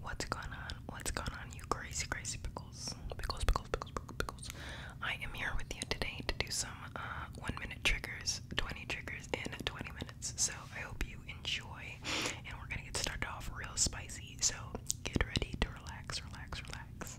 What's going on? What's going on, you crazy, crazy pickles? Pickles, pickles, pickles, pickles, pickles. I am here with you today to do some uh, one minute triggers, 20 triggers in 20 minutes. So I hope you enjoy. And we're gonna get started off real spicy. So get ready to relax, relax, relax.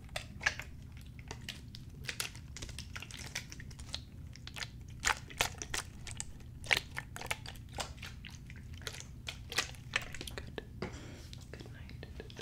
Good. Good night. Good night.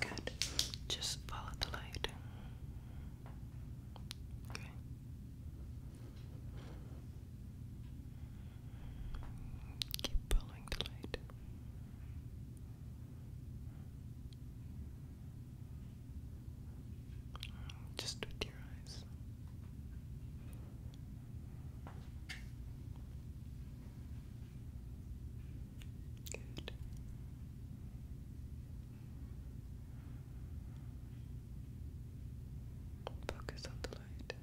Good. Just follow the light. Okay. Keep following the light. Just with your eyes. Good. Focus on the light.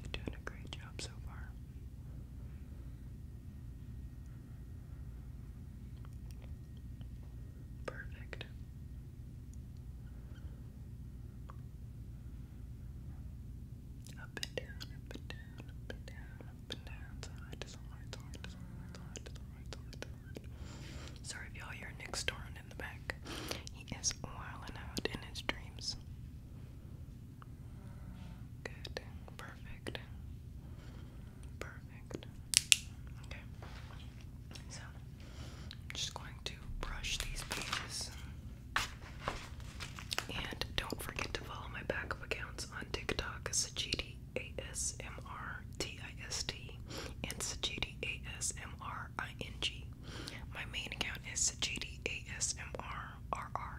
You're doing a great job so far. Perfect. Up and down, up and down, up and down, up and down, side to side, side to side, side to side, side to side. Sorry y'all hear Nick snoring in the back. He is wilding out in his dreams. Good, perfect, perfect. Okay, so I'm just going to brush these pages. And don't forget to follow my backup accounts on TikTok, Sajidi A S M R T I S T and Sajidi A S M R I N G. My main account is Sajidi A S M R R R.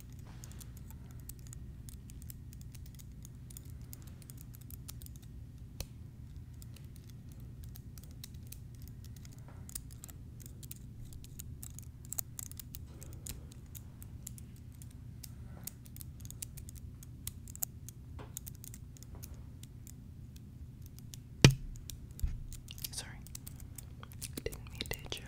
Sorry, didn't mean to hit you.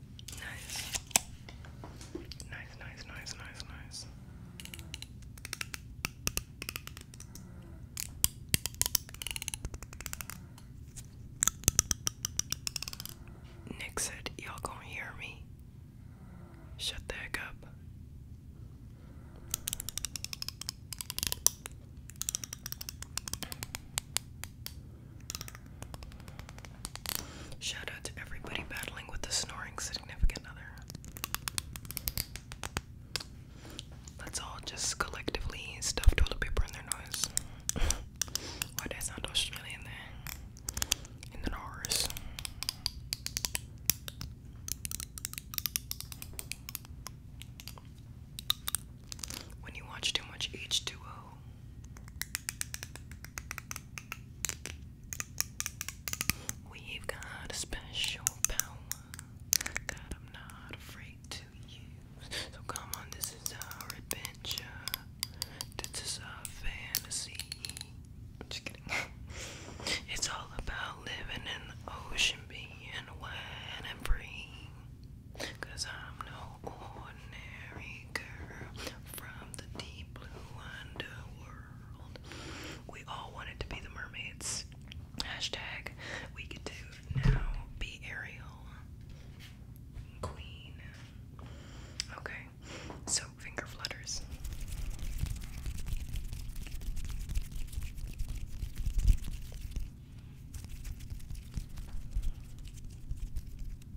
Nice. Nice, nice, nice, nice, Nick said, Y'all gonna hear me? Shut the heck up. Shout out to everybody battling with the snoring significant other. Let's all just collectively stuff toilet paper in their nose. Why does sound Australian there? In the nose. When you watch too much H2O. We've got a special power that I'm not afraid to use. So come on, this is our adventure. This is our fantasy. just kidding. it's all about living in the ocean, being wide and free. Cause I'm no we all wanted to be the mermaids. Hashtag we could do now be Ariel. Queen. Okay, so finger flutters.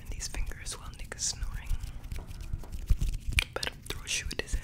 turn these fingers while Nick is snoring. Better throw shoe at his head.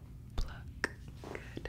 Pluck. Good.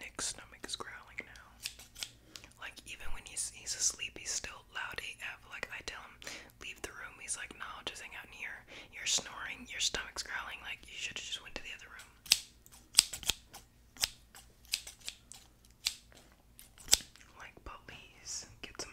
Nick's stomach is growling now. Like even when he's he's asleep, he's still loud AF. Like I tell him, leave the room. He's like, no, just hang out in here. You're snoring. Your stomach's growling. Like you should have just went to the other room. Like, please get some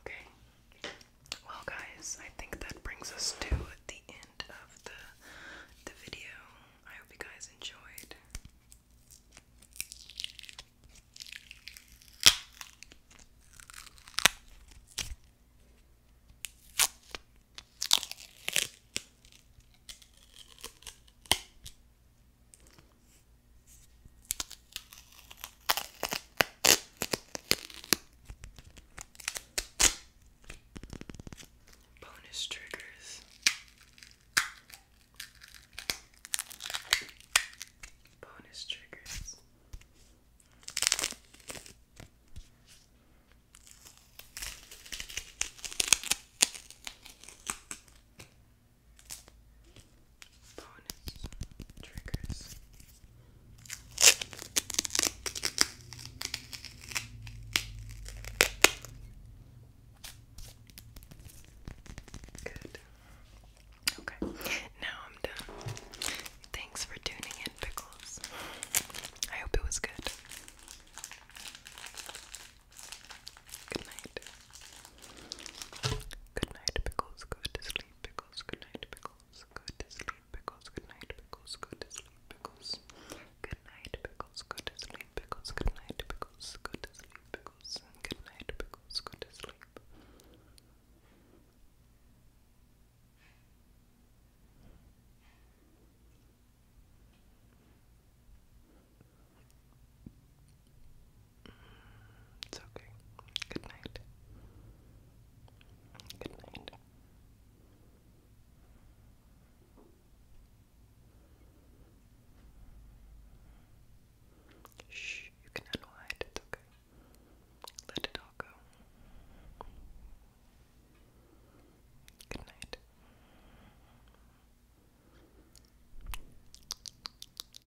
Okay. Well, guys, I think that brings us to the end of the the video. I hope you guys enjoyed. Bonus triggers. Bonus triggers. Okay, now I'm done. Thanks for tuning in, Pickles. I hope it was good. Good night. Good night, pickles. Go to sleep, pickles. Good night, pickles. Go to sleep, pickles. Good night, pickles. Go to sleep, pickles. Good night, pickles. Go to sleep, pickles. Good night, pickles. Go to sleep, pickles. Good night, pickles. Go to sleep. Good night, pickles. Go to sleep. It's okay. Good night. Good night. Shh, you can unwind, it's okay. Let it all go. Good night.